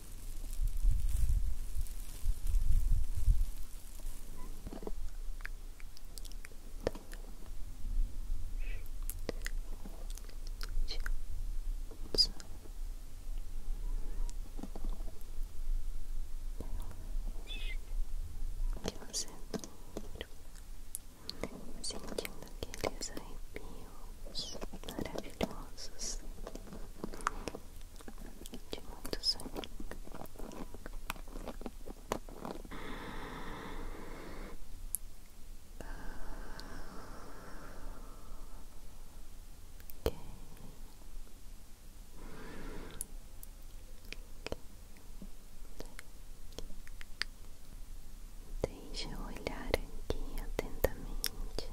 que você sentindo aqueles maravilhosos, de muito sonho. Deixe eu olhar aqui atentamente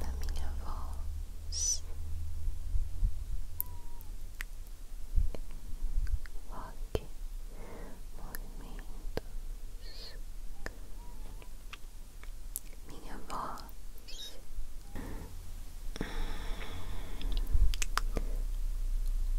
na minha voz, rock, movimentos, minha voz.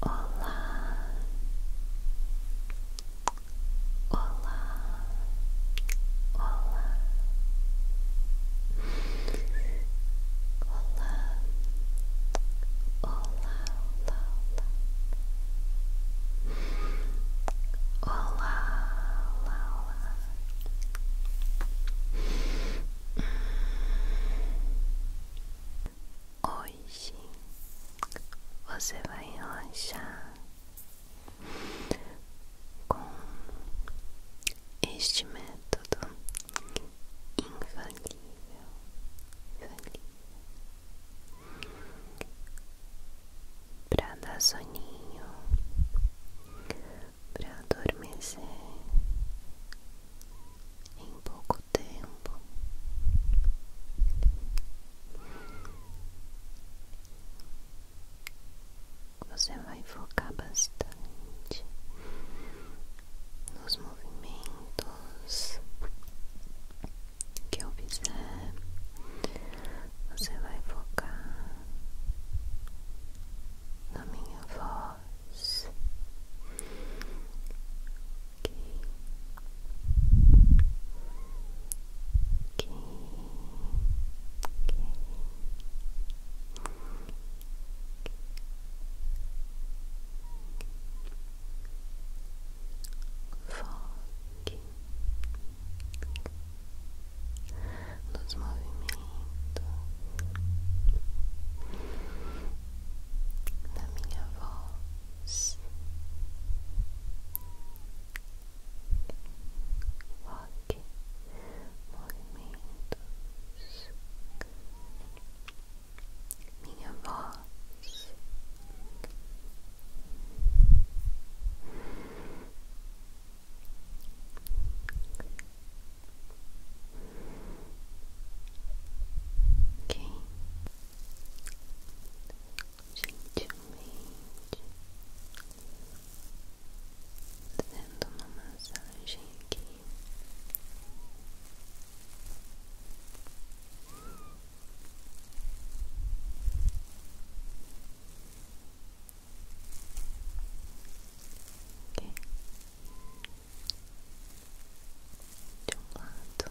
Olá, Olá, olá, olá, olá, olá, olá, olá, olá, olá. Hoje você vai relaxar. Com este método infalível, infalível para dar soninho, para adormecer em pouco tempo você vai focar bastante nos movimentos que eu fizer. Você vai focar na minha voz. Foque nos movimentos da minha voz mãos, rock, movimentos, minha voz. Quem gentilmente, dando uma massagem aqui. De um lado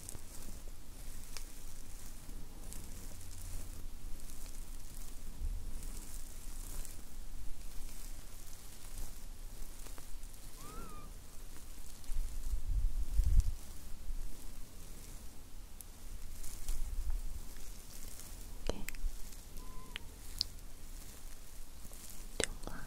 Aqui. de um lado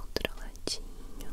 Outro ladinho.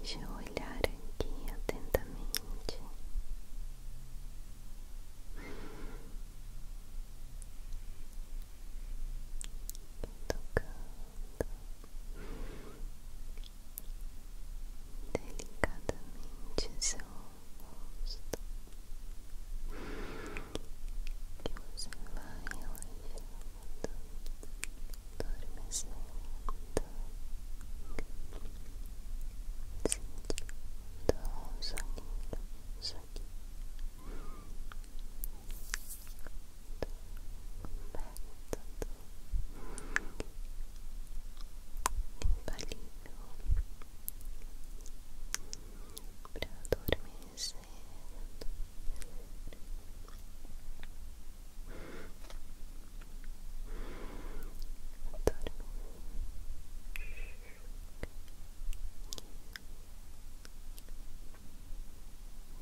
Deixa eu olhar aqui atentamente. Tocando delicadamente seu rosto que você vai relaxando, adormecendo sentindo um soninho, um soninho infalível para adormecer. Adorme.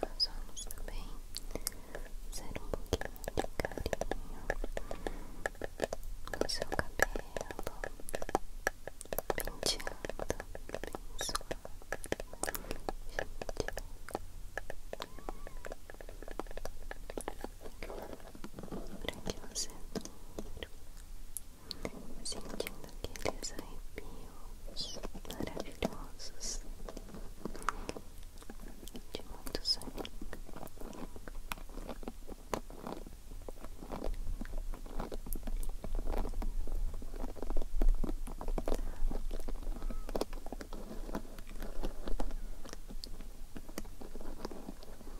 Nós vamos também fazer um pouquinho de carinho no seu cabelo, penteando bem suave, para que você durma sentindo aqueles arrepios maravilhosos de muito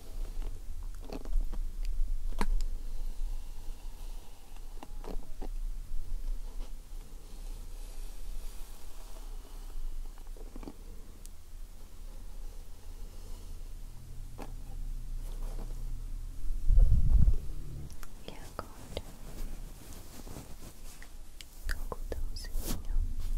E agora, algodãozinho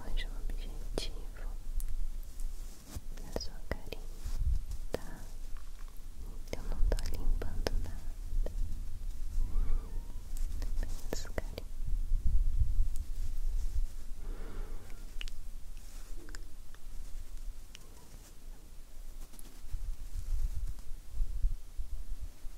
Hoje o é objetivo é sua carinha? tá? Eu não tô limpando nada. Apenas carinho.